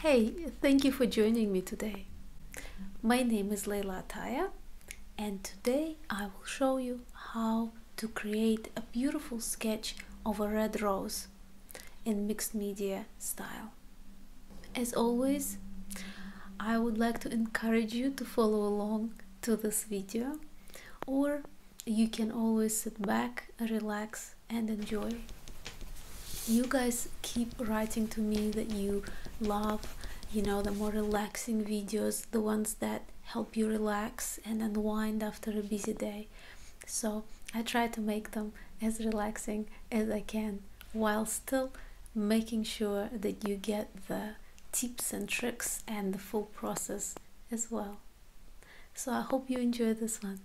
Hey, thank you for joining me today. My name is Leila Ataya and today I will show you how to create a beautiful sketch of a red rose in mixed media style. As always, I would like to encourage you to follow along to this video or you can always sit back, relax and enjoy. You guys keep writing to me that you love, you know, the more relaxing videos, the ones that help you relax and unwind after a busy day. So I try to make them as relaxing as I can while still making sure that you get the tips and tricks and the full process as well. So I hope you enjoy this one.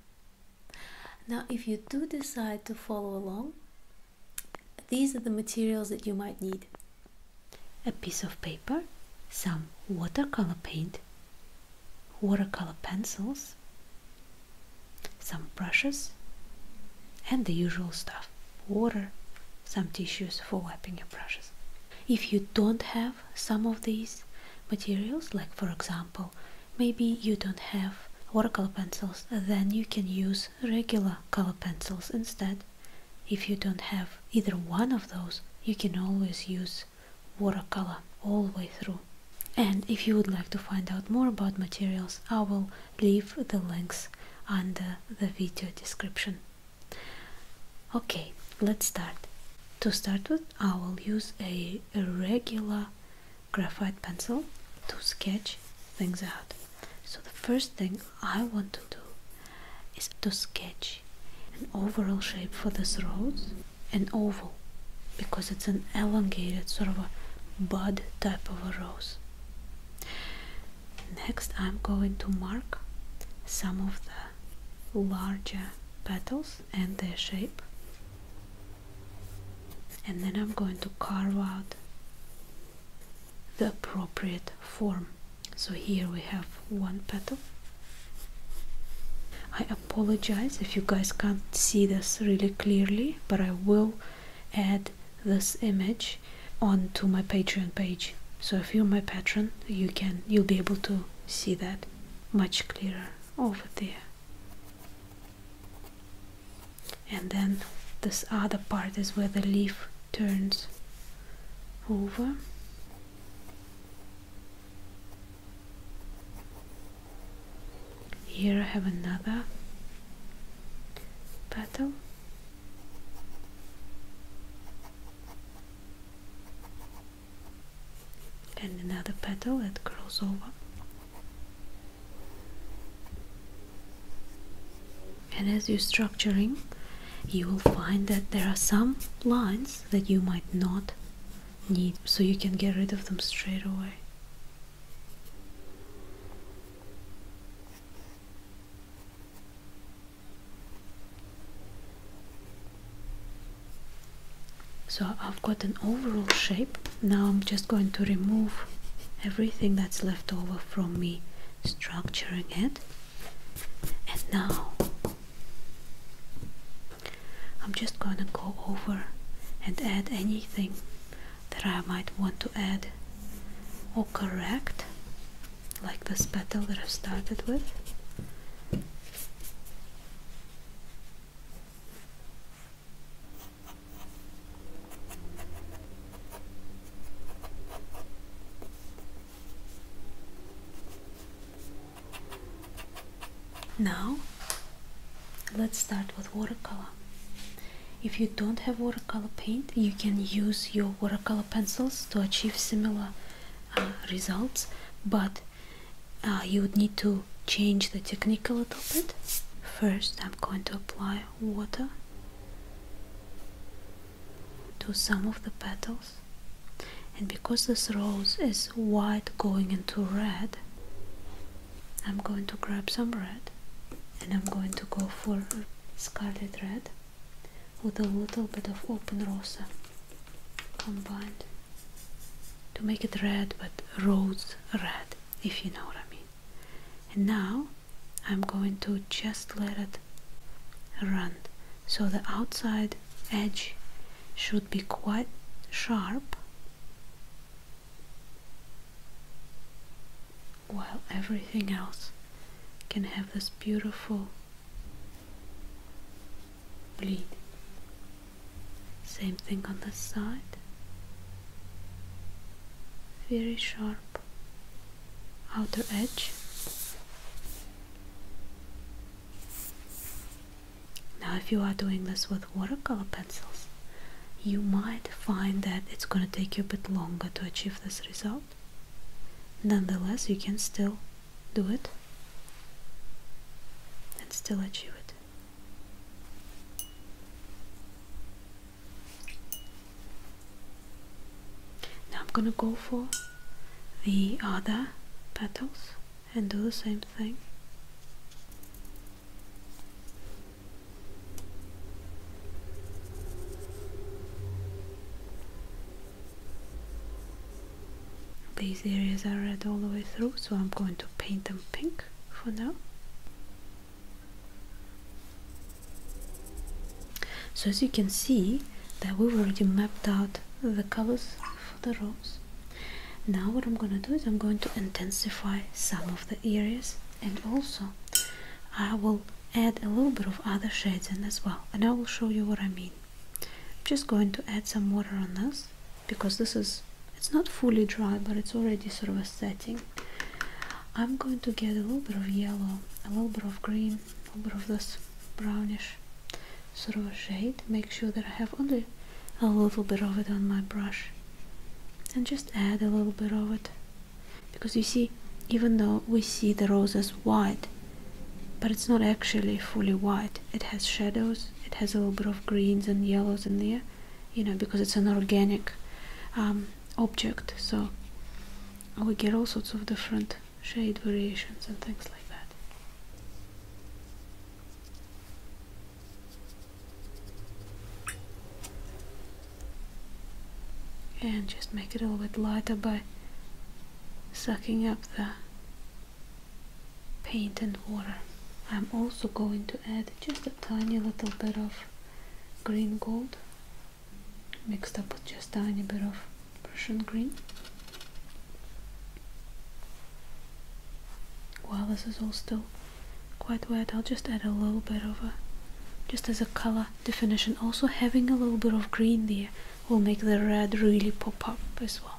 Now, if you do decide to follow along, these are the materials that you might need a piece of paper, some watercolor paint, watercolor pencils, some brushes, and the usual stuff water, some tissues for wiping your brushes. If you don't have some of these materials, like for example, Maybe you don't have watercolor pencils, then you can use regular color pencils instead. If you don't have either one of those, you can always use watercolor all the way through. And if you would like to find out more about materials, I will leave the links under the video description. Okay, let's start. To start with, I will use a regular graphite pencil to sketch things out. So the first thing I want to do is to sketch an overall shape for this rose, an oval, because it's an elongated sort of a bud type of a rose. Next I'm going to mark some of the larger petals and their shape and then I'm going to carve out the appropriate form so here we have one petal I apologize if you guys can't see this really clearly but I will add this image onto my patreon page so if you're my patron you can you'll be able to see that much clearer over there and then this other part is where the leaf turns over here I have another petal and another petal that curls over and as you're structuring you will find that there are some lines that you might not need so you can get rid of them straight away so I've got an overall shape now I'm just going to remove everything that's left over from me structuring it and now I'm just going to go over and add anything that I might want to add or correct like this petal that I've started with now, let's start with watercolor. If you don't have watercolor paint, you can use your watercolor pencils to achieve similar uh, results, but uh, you would need to change the technique a little bit. First, I'm going to apply water to some of the petals, and because this rose is white going into red, I'm going to grab some red and I'm going to go for scarlet red with a little bit of open rosa combined to make it red but rose red if you know what I mean and now I'm going to just let it run so the outside edge should be quite sharp while everything else can have this beautiful bleed same thing on the side. Very sharp outer edge. Now, if you are doing this with watercolor pencils, you might find that it's going to take you a bit longer to achieve this result. Nonetheless, you can still do it and still achieve it. Now I'm gonna go for the other petals and do the same thing. These areas are red all the way through, so I'm going to paint them pink for now. So as you can see that we've already mapped out the colors for the rose. Now what I'm going to do is I'm going to intensify some of the areas and also I will add a little bit of other shades in as well and I will show you what I mean. I'm just going to add some water on this because this is it's not fully dry but it's already sort of a setting I'm going to get a little bit of yellow a little bit of green a little bit of this brownish sort of a shade make sure that I have only a little bit of it on my brush and just add a little bit of it because you see even though we see the roses white but it's not actually fully white it has shadows it has a little bit of greens and yellows in there you know because it's an organic um, object so we get all sorts of different shade variations and things like that and just make it a little bit lighter by sucking up the paint and water. I'm also going to add just a tiny little bit of green gold mixed up with just a tiny bit of Prussian green. While this is all still quite wet, I'll just add a little bit of a, just as a color definition. Also having a little bit of green there will make the red really pop up as well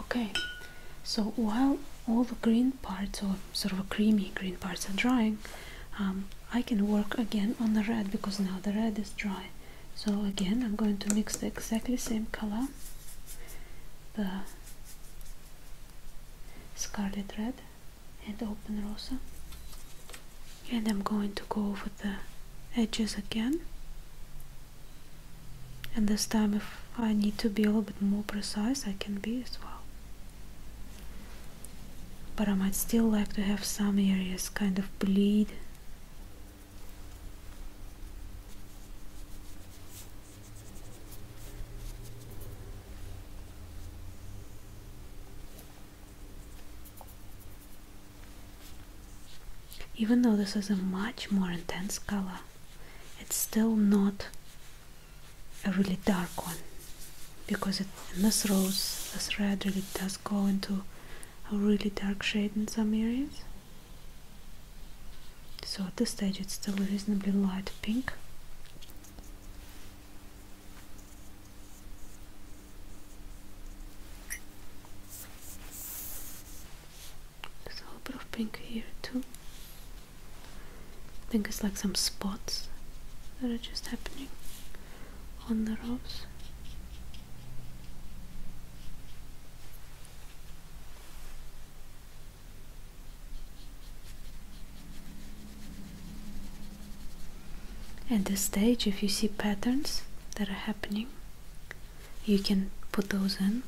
okay so while all the green parts or sort of creamy green parts are drying um, I can work again on the red because now the red is dry so again I'm going to mix the exactly same color the scarlet red and open Rosa and I'm going to go over the edges again and this time if I need to be a little bit more precise I can be as well but I might still like to have some areas kind of bleed even though this is a much more intense color, it's still not a really dark one because this rose, this red really does go into a really dark shade in some areas. So at this stage it's still a reasonably light pink. There's a little bit of pink here too. I think it's like some spots that are just happening on the rose. At this stage, if you see patterns that are happening, you can put those in.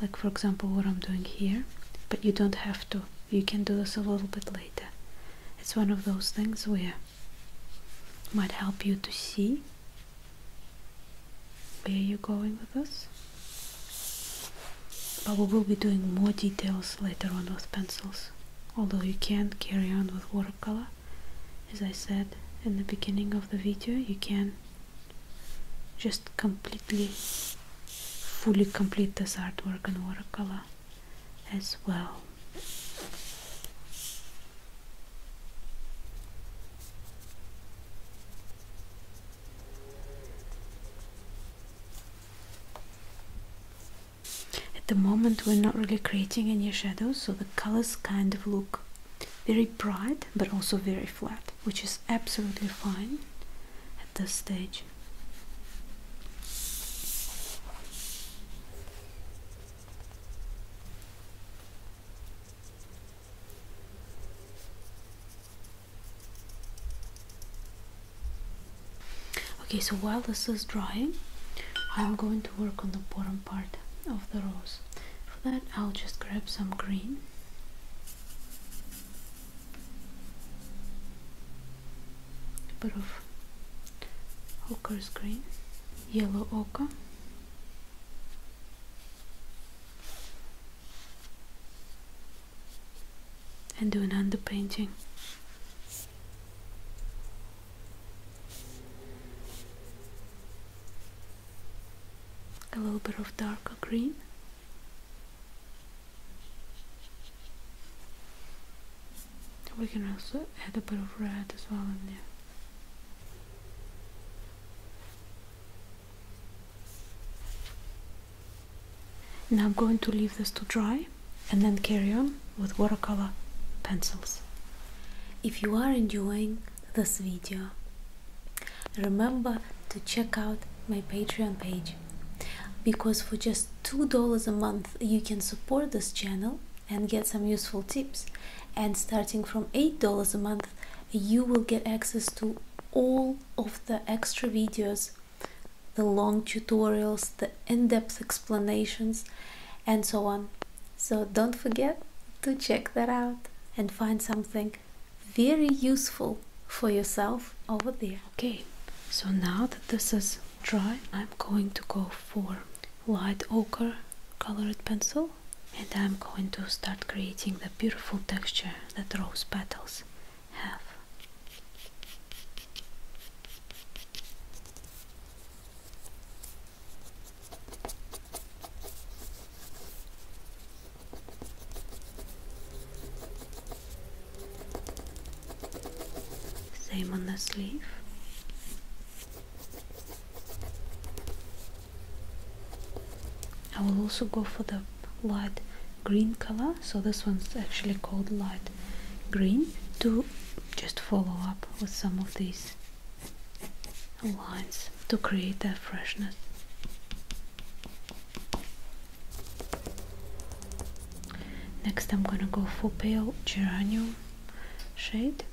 Like for example, what I'm doing here, but you don't have to. You can do this a little bit later. It's one of those things where it might help you to see where you're going with this but we will be doing more details later on with pencils although you can not carry on with watercolor as I said in the beginning of the video you can just completely fully complete this artwork in watercolor as well at the moment we're not really creating any shadows, so the colors kind of look very bright but also very flat, which is absolutely fine at this stage okay so while this is drying I'm going to work on the bottom part of the rose for that I'll just grab some green a bit of ochre's green yellow ochre and do an underpainting. A little bit of darker green. We can also add a bit of red as well in there. Now I'm going to leave this to dry and then carry on with watercolor pencils. If you are enjoying this video, remember to check out my Patreon page because for just $2 a month you can support this channel and get some useful tips and starting from $8 a month you will get access to all of the extra videos the long tutorials, the in depth explanations, and so on. So don't forget to check that out and find something very useful for yourself over there. Okay, so now that this is dry, I'm going to go for light ochre colored pencil and I'm going to start creating the beautiful texture that rose petals have. Same on the sleeve. I will also go for the light green color so this one's actually called light green to just follow up with some of these lines to create that freshness next I'm gonna go for pale geranium shade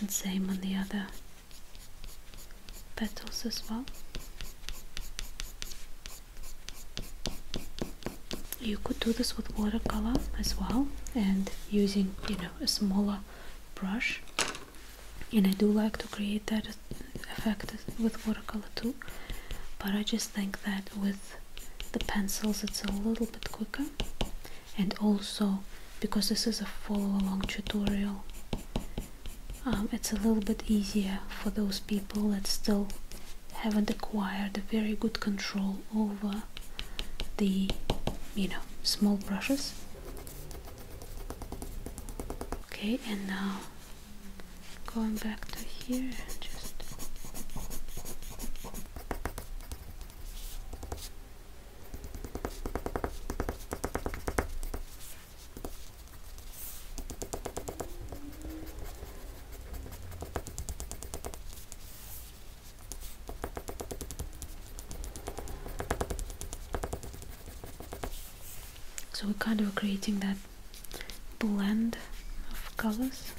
and same on the other petals as well you could do this with watercolor as well and using you know a smaller brush and I do like to create that effect with watercolor too but I just think that with the pencils it's a little bit quicker and also because this is a follow-along tutorial um, it's a little bit easier for those people that still haven't acquired a very good control over the you know small brushes okay and now going back to here just So we're kind of creating that blend of colors.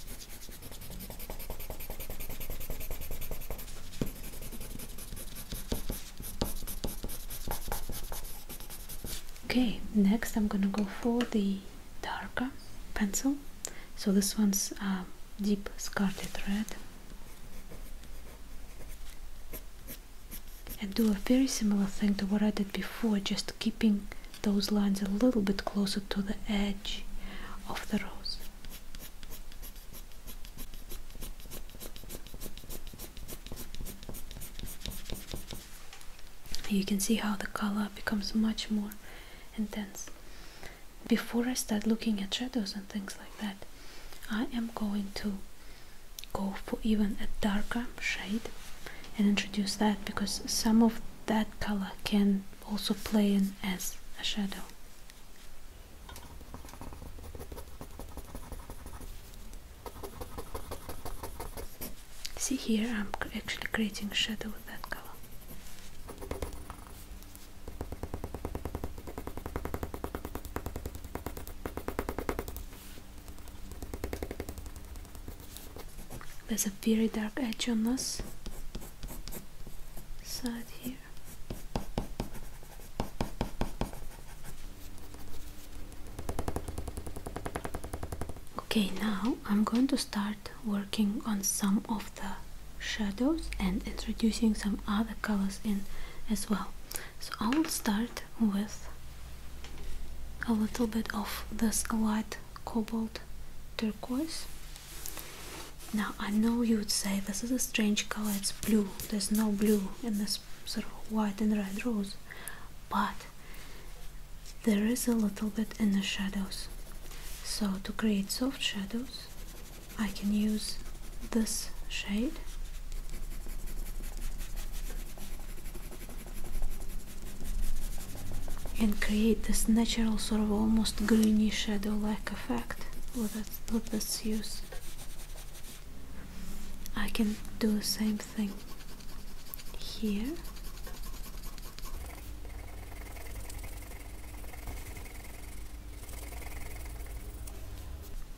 Okay, next I'm gonna go for the darker pencil. So this one's uh, deep scarlet red and do a very similar thing to what I did before, just keeping those lines a little bit closer to the edge of the rose. You can see how the color becomes much more intense. Before I start looking at shadows and things like that, I am going to go for even a darker shade and introduce that because some of that color can also play in as a shadow see here I'm actually creating a shadow with that color there's a very dark edge on this side here. Okay, now I'm going to start working on some of the shadows and introducing some other colors in as well. So I will start with a little bit of this light cobalt turquoise now I know you would say this is a strange color it's blue there's no blue in this sort of white and red rose but there is a little bit in the shadows so to create soft shadows I can use this shade and create this natural sort of almost greeny shadow like effect with its, use. I can do the same thing here.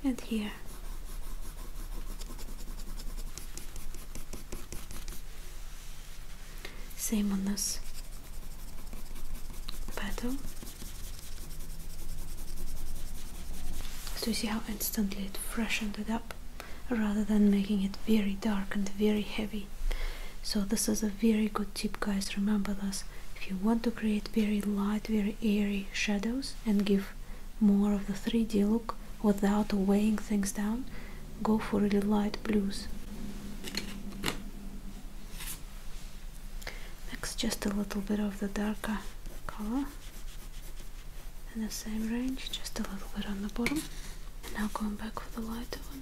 and here same on this battle. So you see how instantly it freshened it up rather than making it very dark and very heavy. So this is a very good tip guys, remember this. If you want to create very light, very airy shadows and give more of the 3D look, without weighing things down, go for really light blues. Next, just a little bit of the darker color in the same range, just a little bit on the bottom. And now going back for the lighter one.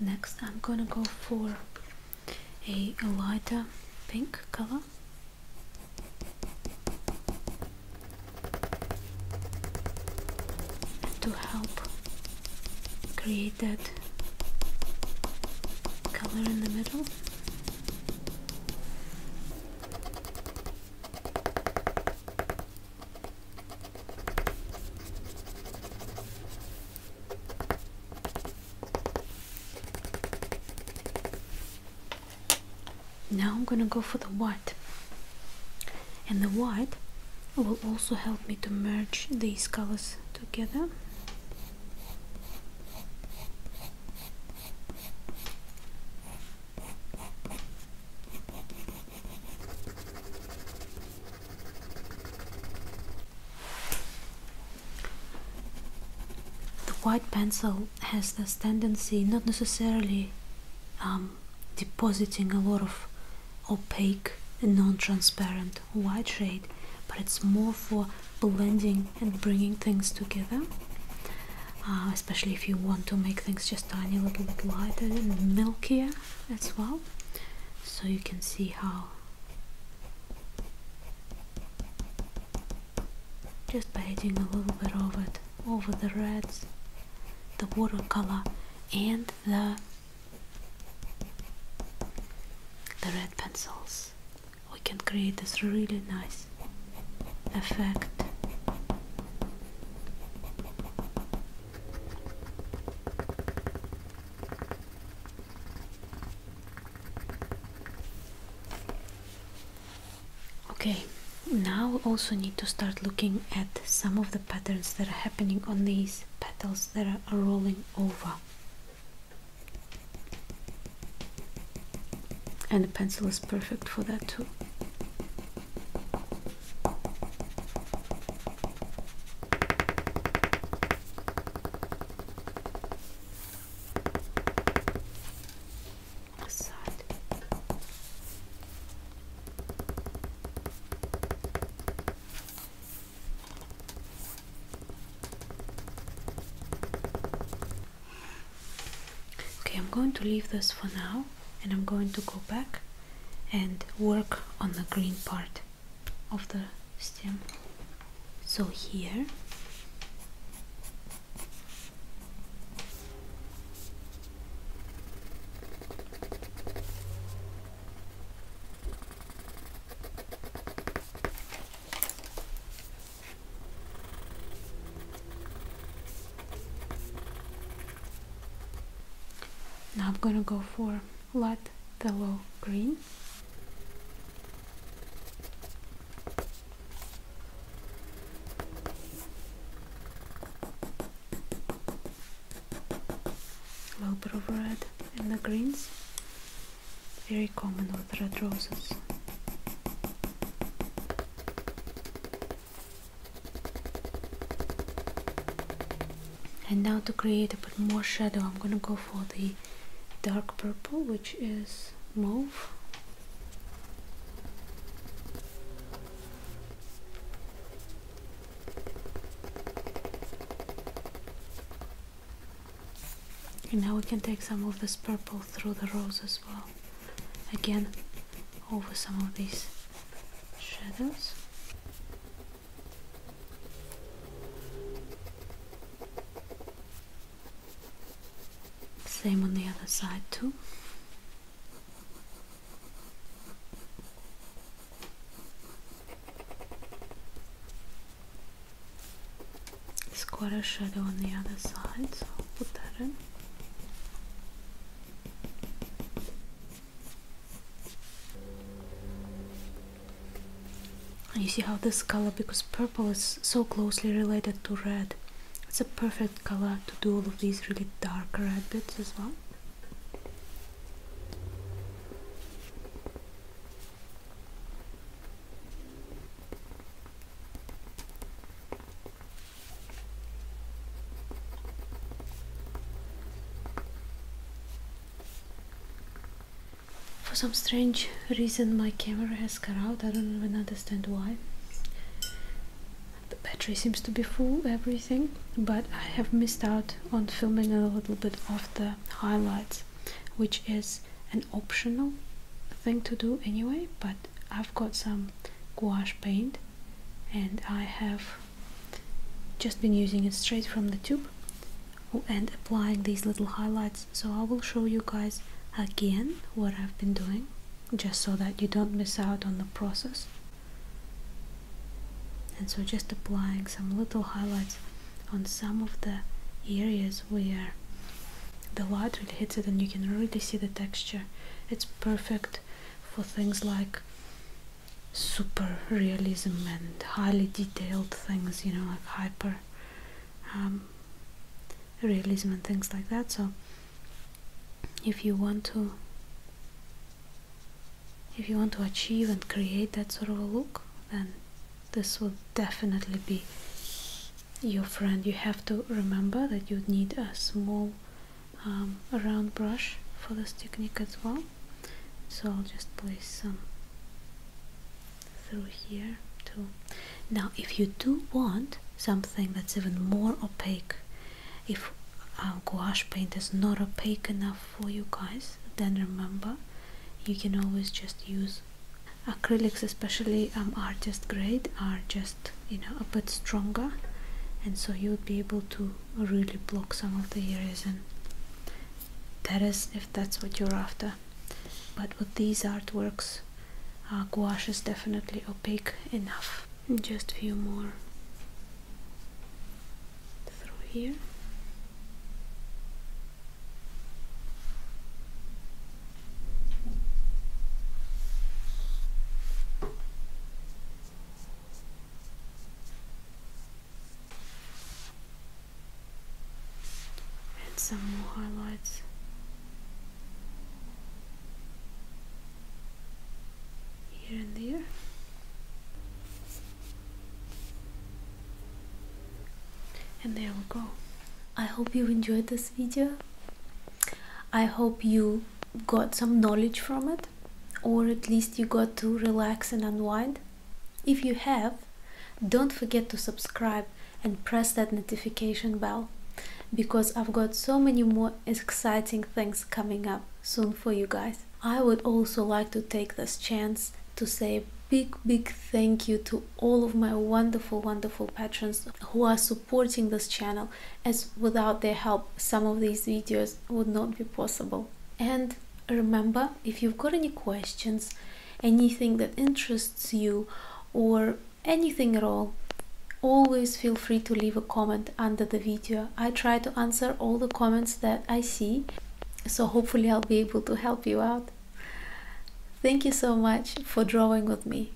Next, I'm gonna go for a lighter pink color. To help create that color in the middle. Now I'm gonna go for the white and the white will also help me to merge these colors together the white pencil has this tendency, not necessarily um, depositing a lot of opaque and non-transparent white shade, but it's more for blending and bringing things together. Uh, especially if you want to make things just tiny a little bit lighter and milkier as well so you can see how just by adding a little bit of it over the reds the watercolor and the the red pencils we can create this really nice effect Okay, now also need to start looking at some of the patterns that are happening on these petals that are rolling over. And the pencil is perfect for that too. Okay, I'm going to leave this for now and I'm going to go back and work on the green part of the stem so here Now I'm gonna go for light the low green a little bit of red in the greens very common with red roses and now to create a bit more shadow I'm gonna go for the dark purple which is mauve and now we can take some of this purple through the rose as well again over some of these shadows same on the other side too. it quite a shadow on the other side, so I'll put that in. And you see how this color, because purple is so closely related to red, it's a perfect color to do all of these really dark red bits as well. For some strange reason my camera has cut out, I don't even understand why. The battery seems to be full, everything, but I have missed out on filming a little bit of the highlights, which is an optional thing to do anyway, but I've got some gouache paint and I have just been using it straight from the tube oh, and applying these little highlights so I will show you guys again what I've been doing just so that you don't miss out on the process and so just applying some little highlights on some of the areas where the light really hits it and you can really see the texture it's perfect for things like super realism and highly detailed things, you know, like hyper um, realism and things like that. So, if you want to, if you want to achieve and create that sort of a look, then this will definitely be your friend. You have to remember that you need a small um, a round brush for this technique as well so I'll just place some through here too now if you do want something that's even more opaque if our gouache paint is not opaque enough for you guys then remember you can always just use acrylics especially um, artist grade are just you know a bit stronger and so you would be able to really block some of the areas and that is if that's what you're after but with these artworks uh, gouache is definitely opaque enough just a few more through here Add some more highlights here and there and there we go i hope you enjoyed this video i hope you got some knowledge from it or at least you got to relax and unwind? If you have, don't forget to subscribe and press that notification bell because I've got so many more exciting things coming up soon for you guys. I would also like to take this chance to say a big, big thank you to all of my wonderful, wonderful patrons who are supporting this channel as without their help, some of these videos would not be possible. And remember, if you've got any questions, anything that interests you, or anything at all, always feel free to leave a comment under the video. I try to answer all the comments that I see, so hopefully I'll be able to help you out. Thank you so much for drawing with me,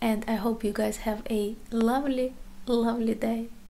and I hope you guys have a lovely, lovely day.